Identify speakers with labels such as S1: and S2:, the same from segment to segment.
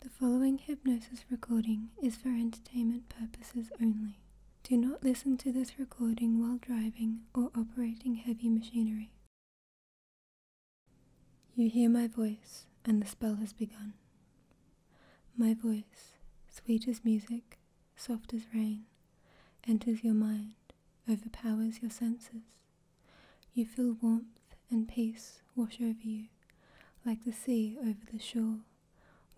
S1: The following hypnosis recording is for entertainment purposes only. Do not listen to this recording while driving or operating heavy machinery. You hear my voice, and the spell has begun. My voice, sweet as music, soft as rain, enters your mind, overpowers your senses, you feel warmth and peace wash over you, like the sea over the shore,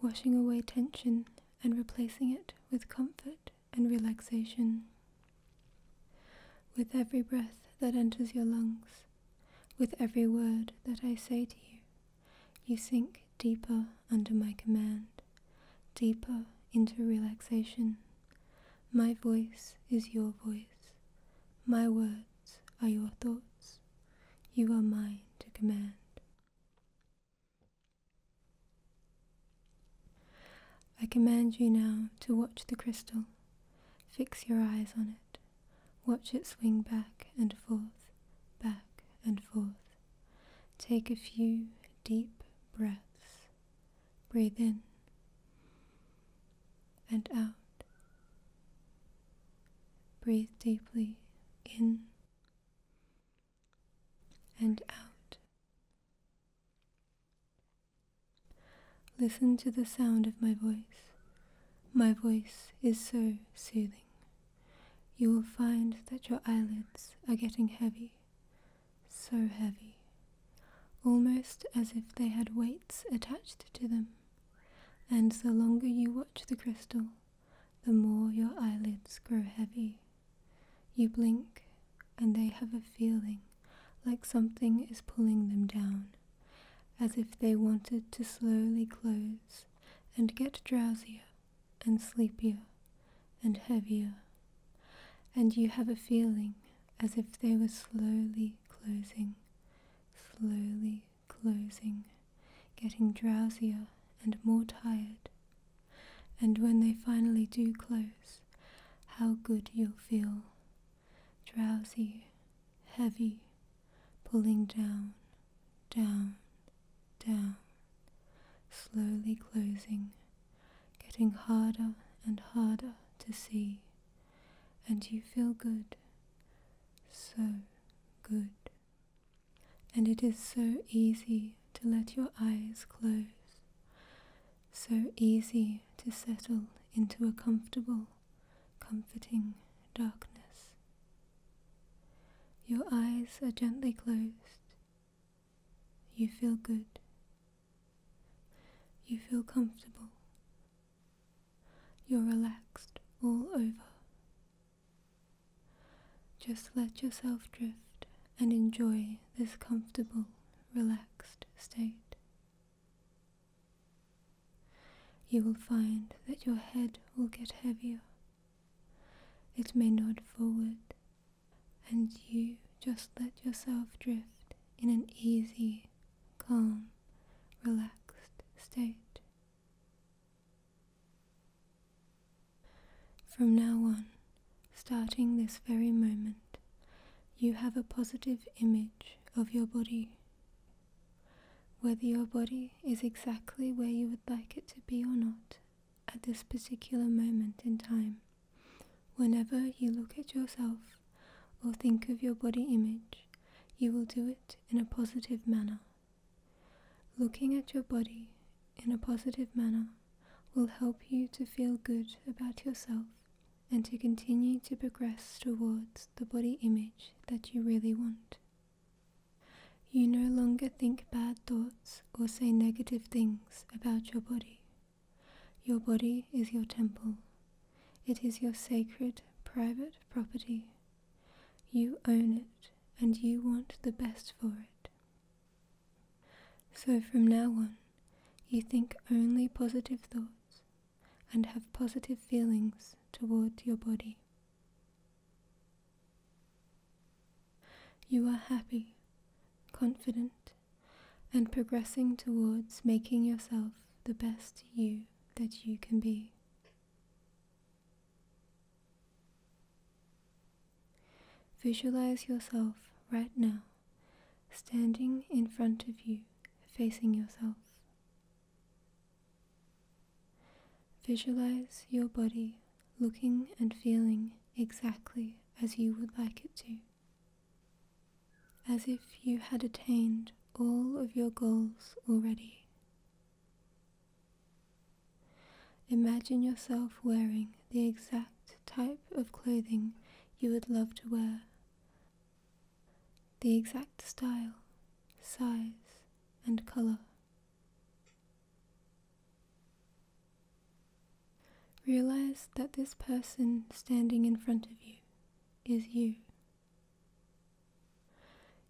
S1: washing away tension and replacing it with comfort and relaxation. With every breath that enters your lungs, with every word that I say to you, you sink deeper under my command, deeper into relaxation. My voice is your voice, my words are your thoughts, you are mine to command. I command you now to watch the crystal, fix your eyes on it, watch it swing back and forth, back and forth. Take a few deep breaths. Breathe in and out. Breathe deeply in and out. Listen to the sound of my voice. My voice is so soothing. You will find that your eyelids are getting heavy so heavy, almost as if they had weights attached to them. And the longer you watch the crystal, the more your eyelids grow heavy. You blink, and they have a feeling like something is pulling them down, as if they wanted to slowly close and get drowsier and sleepier and heavier, and you have a feeling as if they were slowly closing, slowly closing, getting drowsier and more tired. And when they finally do close, how good you'll feel. Drowsy, heavy, pulling down, down, down, slowly closing, getting harder and harder to see, and you feel good, so good. And it is so easy to let your eyes close, so easy to settle into a comfortable, comforting darkness. Your eyes are gently closed. You feel good. You feel comfortable. You're relaxed all over. Just let yourself drift and enjoy this comfortable, relaxed state. You will find that your head will get heavier it may nod forward, and you just let yourself drift in an easy, calm, relaxed state. From now on, starting this very moment, you have a positive image of your body whether your body is exactly where you would like it to be or not at this particular moment in time, whenever you look at yourself or think of your body image, you will do it in a positive manner. Looking at your body in a positive manner will help you to feel good about yourself and to continue to progress towards the body image that you really want. You no longer think bad thoughts or say negative things about your body. Your body is your temple. It is your sacred, private property. You own it and you want the best for it. So from now on, you think only positive thoughts and have positive feelings toward your body. You are happy, confident, and progressing towards making yourself the best you that you can be. Visualize yourself right now standing in front of you, facing yourself. Visualize your body looking and feeling exactly as you would like it to, as if you had attained all of your goals already. Imagine yourself wearing the exact type of clothing you would love to wear the exact style, size, and color. Realize that this person standing in front of you is you.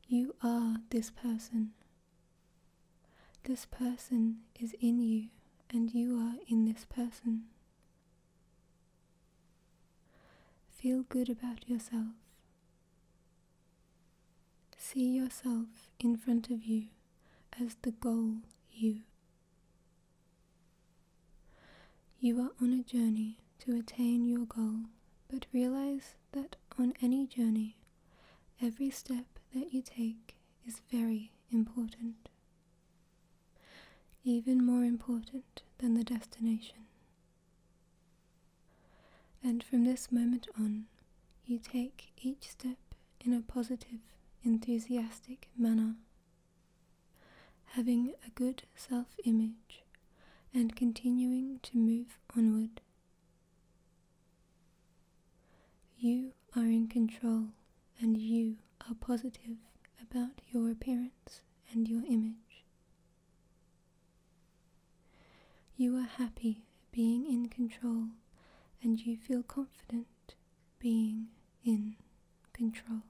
S1: You are this person. This person is in you, and you are in this person. Feel good about yourself. See yourself in front of you as the goal you. You are on a journey to attain your goal, but realize that on any journey, every step that you take is very important, even more important than the destination. And from this moment on, you take each step in a positive, enthusiastic manner, having a good self image and continuing to move onward. You are in control and you are positive about your appearance and your image. You are happy being in control and you feel confident being in control.